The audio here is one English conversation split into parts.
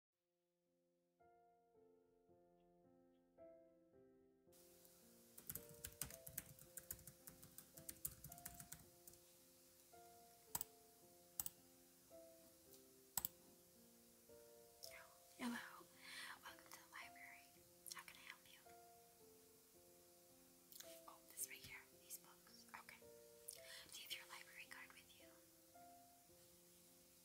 Hello, welcome to the library. How can I help you? Oh, this right here, these books. Okay. Do you have your library card with you?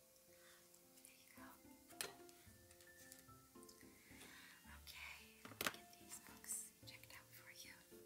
There you go. Okay, get these books checked out for you. Okay.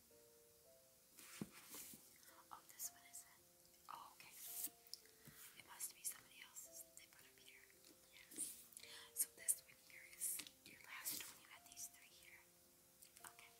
Oh, this one is it? Oh, okay. It must be somebody else's. They put up here. Yes. So this one here is your last one. You had these three here. Okay. Okay.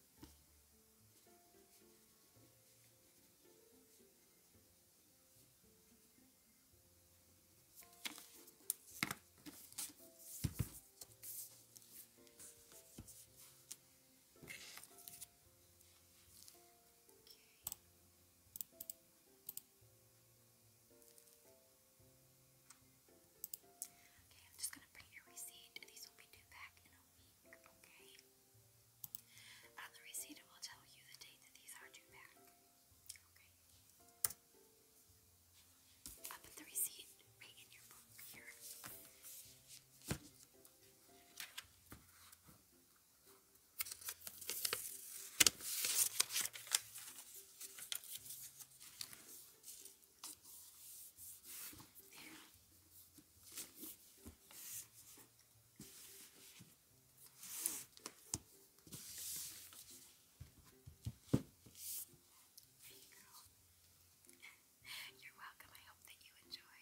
Okay, I'm just going to bring your receipt. These will be due back in a okay? On the receipt, will tell you the date that these are due back, okay? I'll the receipt right in your book here. There you are welcome. I hope that you enjoy.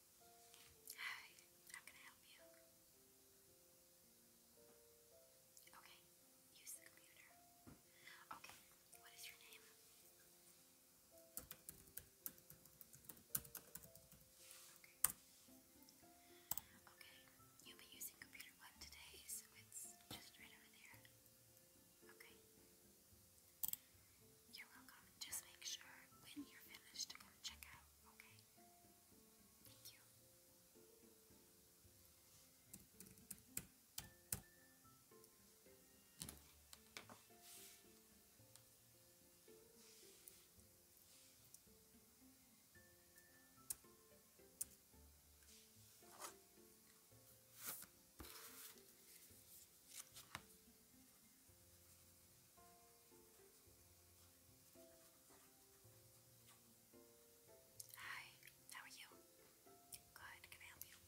Hi, how can I help you? Okay, use the computer. Okay, what is your name? Okay. Okay, you'll be using computer one today, so it's just right over there. Okay. You're welcome. Just make sure when you're finished to come check out, okay? Thank you. Hi, how are you? Good, can I help you?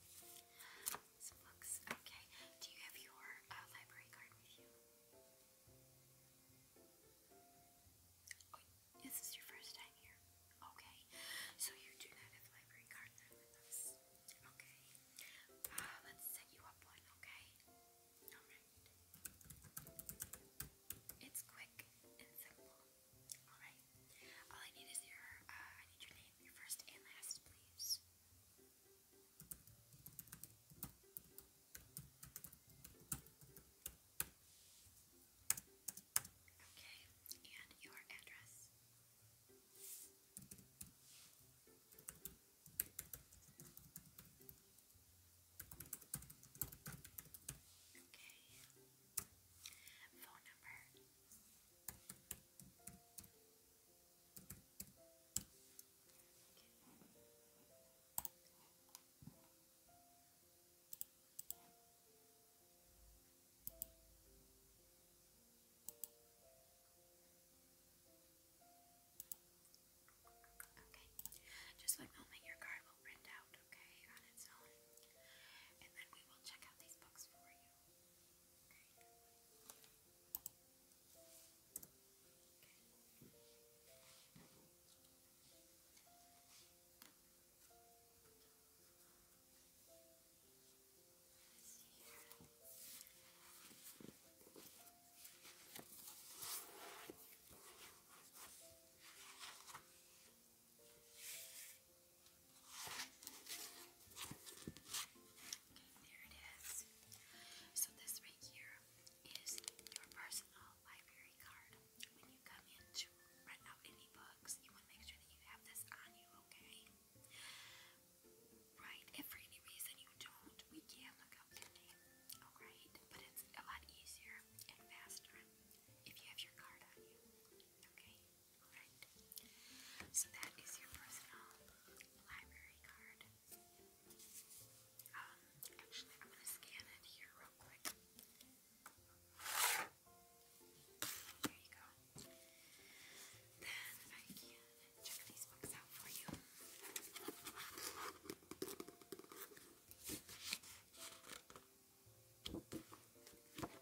Some books, okay. Do you have your uh, library card with you? Oh, this your first time here? Okay, so you do not have library card with us. Okay. Uh, let's set you up one, okay? Alright. It's quick and simple. Alright. All I need is your, uh, I need your name, your first and last, please. Okay, and your address. Okay. Phone number. Okay. Okay. Okay, just one moment, your card will print out, okay, on its own. And then we will check out these books for you. Okay there So this right here is your personal library card. When you come in to rent any books, you want to make sure that you have this on you, okay? Right? If for any reason you don't, we can look up your name. Alright? But it's a lot easier and faster if you have your card on you. Okay? Alright? So that is your personal library card. Um, actually, I'm gonna scan it here real quick. There you go then I can check these books out for you. Okay,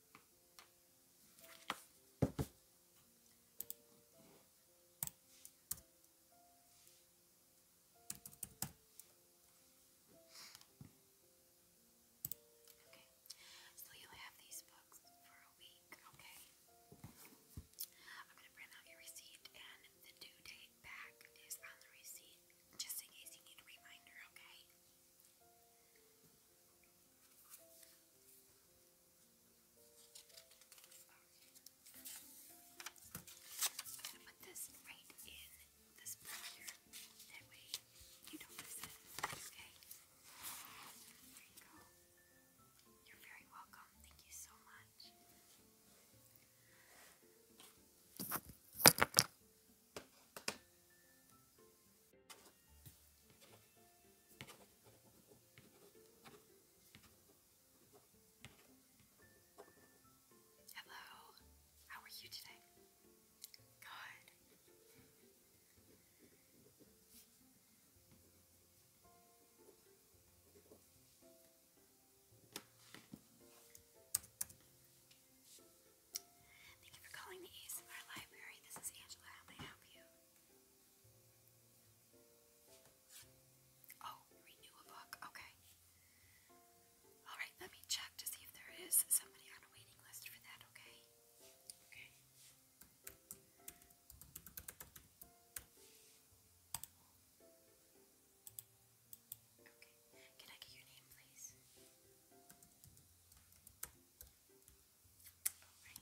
Okay, so you'll have these books for a week, okay? I'm gonna print out your receipt and the due date back is on the receipt just in case you need a reminder, okay? I'm gonna put this right in this blender. That way you don't miss it. Okay. There you go. You're very welcome. Thank you so much. Hello, how are you today? Good. Thank you for calling the ASMR Library. This is Angela. How may I help you? Oh, renew a book. Okay. Alright, let me check to see if there is somebody on a waiting list for that, okay? Okay. Can I get your name, please? Alright.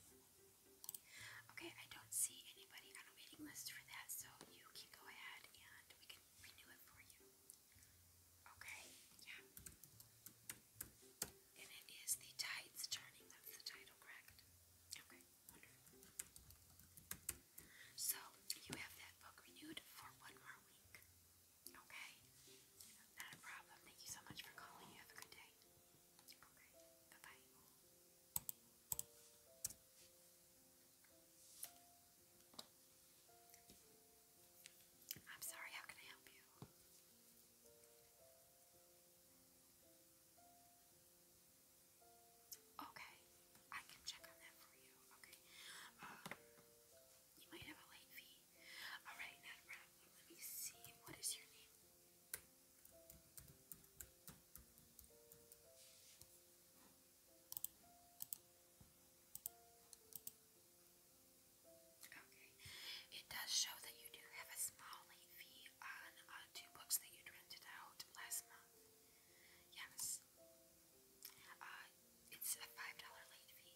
Okay, I don't see anybody on a waiting list for that, so you can go ahead and we can renew it for you. Okay, yeah. And it is the tides turning, that's the title, correct? Okay, So you have that book renewed for one more week. Okay. Not a problem. Thank you so much for calling. You have a good day. Okay. Bye bye. I'm sorry. How can I help you? Okay, I can check on that for you. Okay, um, you might have a late fee. Alright, not Let me see. What is your name? Okay. It does show that you do have a small late fee on uh, two books that you rented out last month. Yes. Uh, it's a $5 late fee.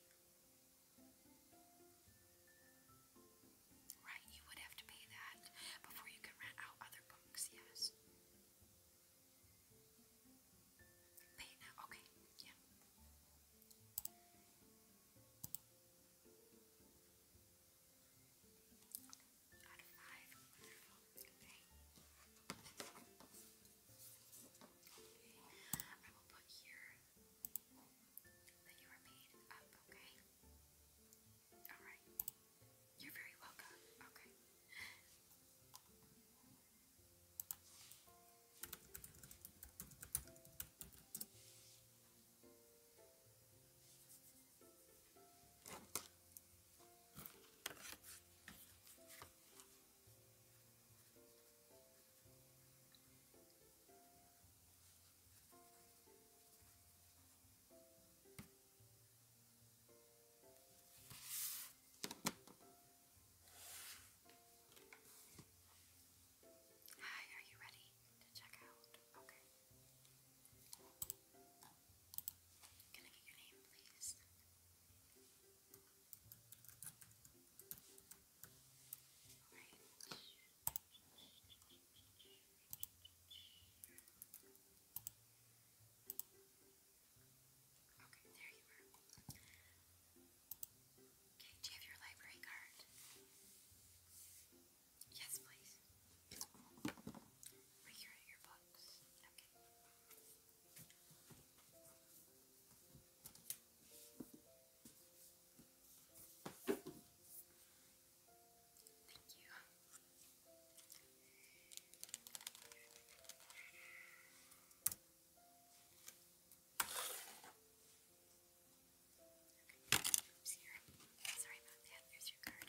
Right, you would have to pay that before you could rent out other books, yes. Pay now, okay, yeah. out of five, I will put here that you are made up, okay? Alright. You're very welcome. Okay. Hi, are you ready to check out? Okay. Can I get your name, please? Okay, there you are. Okay, do you have your library card? Yes, please. Right here your books. Okay. Thank you. Okay, here. Sorry about that. There's your card.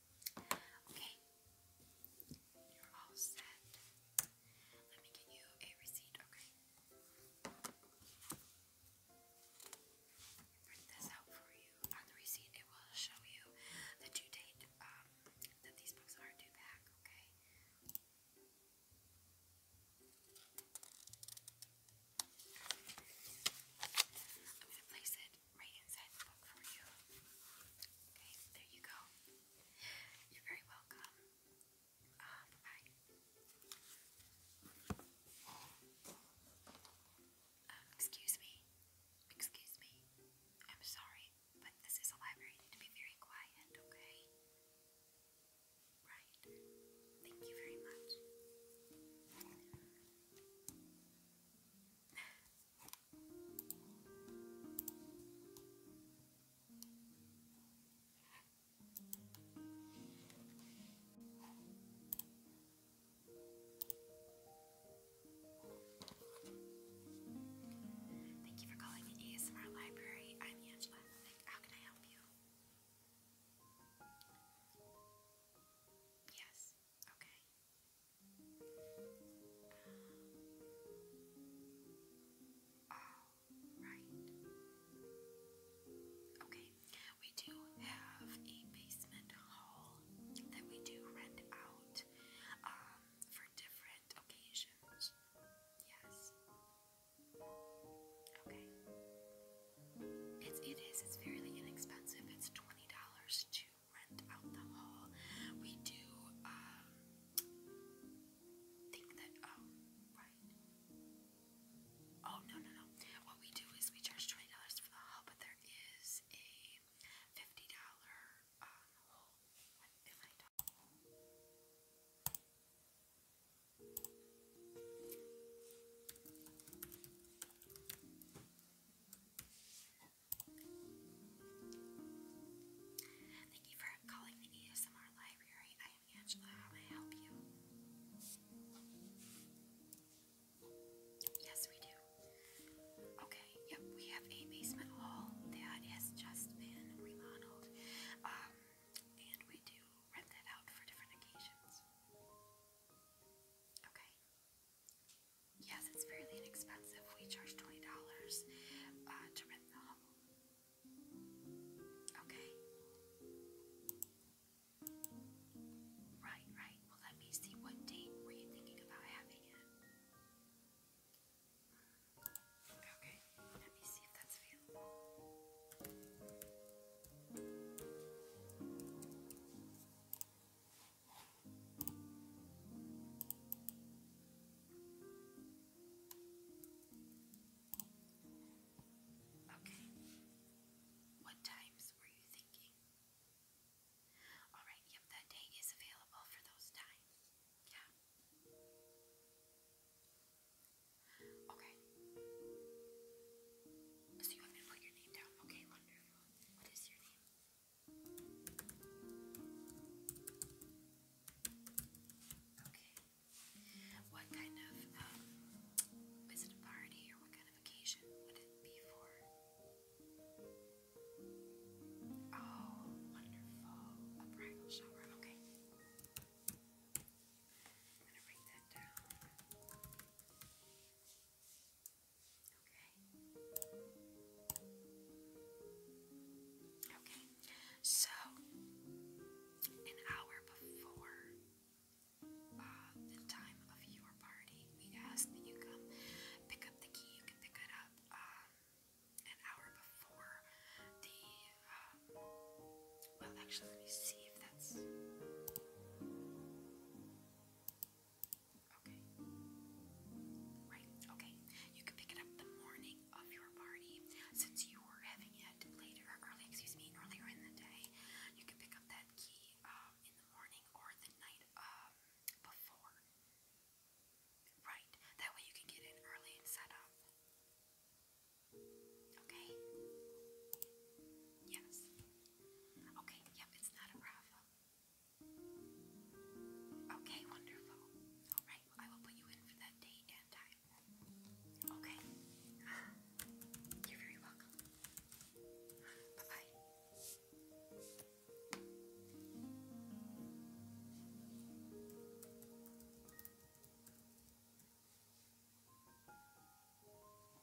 Okay, you're all set. Let me get you a receipt, okay? Print this out for you. On the receipt, it will show you the due date um, that these books are due back, okay? I'm place it right inside the book for you. Okay, there you go. You're very welcome. Uh, bye bye. Um, excuse me. Excuse me. I'm sorry, but this is a library. need to be very quiet, okay? Right. Thank you very much. Thank you for calling the ASMR Library. I'm Angela. how can I help you? Yes. Okay. Um, all oh, right. Okay, we do have a basement hall that we do rent out um, for different occasions. Yes. Okay. It's, it is. fairly inexpensive. It's twenty dollars to rent out the hall. We do um, think that. Oh, oh, no no no. What we do is we charge twenty dollars for the hall, but there is a fifty dollar um Thank you for calling the ASMR Library. I am Angela. How may help you? Yes, we do. Okay, yep, we have a basement hall that has just been remodeled. Um, and we do rent that out for different occasions. Okay. Yes, it's fairly inexpensive. We charge $20 uh, to rent the hovel. Okay. Right, right. Well, let me see. What date were you thinking about having it? Okay, let me see if that's available. Okay. What times were you thinking? Alright, yep, that day is available for those times. Yeah. Okay. So you want to put your name down? Okay, wonderful. What is your name? Okay. What kind of, um, is it a party or what kind of occasion would it be for? Oh, wonderful. A bridal shower, okay. I'm gonna write that down. Okay. Okay. So an hour before uh, the time of your party, we ask that you come pick up the key. You can pick it up um, an hour before the uh, well, actually, let me see if that's. Okay. Right, okay. You can pick it up the morning of your party. Since you were having it later, early, excuse me, earlier in the day, you can pick up that key um, in the morning or the night um, before. Right, that way you can get in early and set up. Okay? Yes. Okay, yep, it's not a Bravo. Okay, wonderful. Alright, I will put you in for that date and time. Okay. You're very welcome. Bye bye.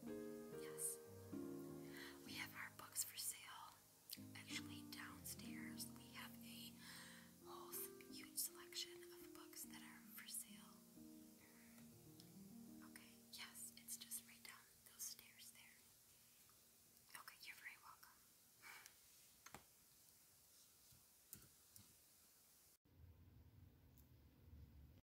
Yes. We have our books for sale. Actually, downstairs we have a whole huge selection of books that are for sale. Okay, yes, it's just right down those stairs there. Okay, you're very welcome.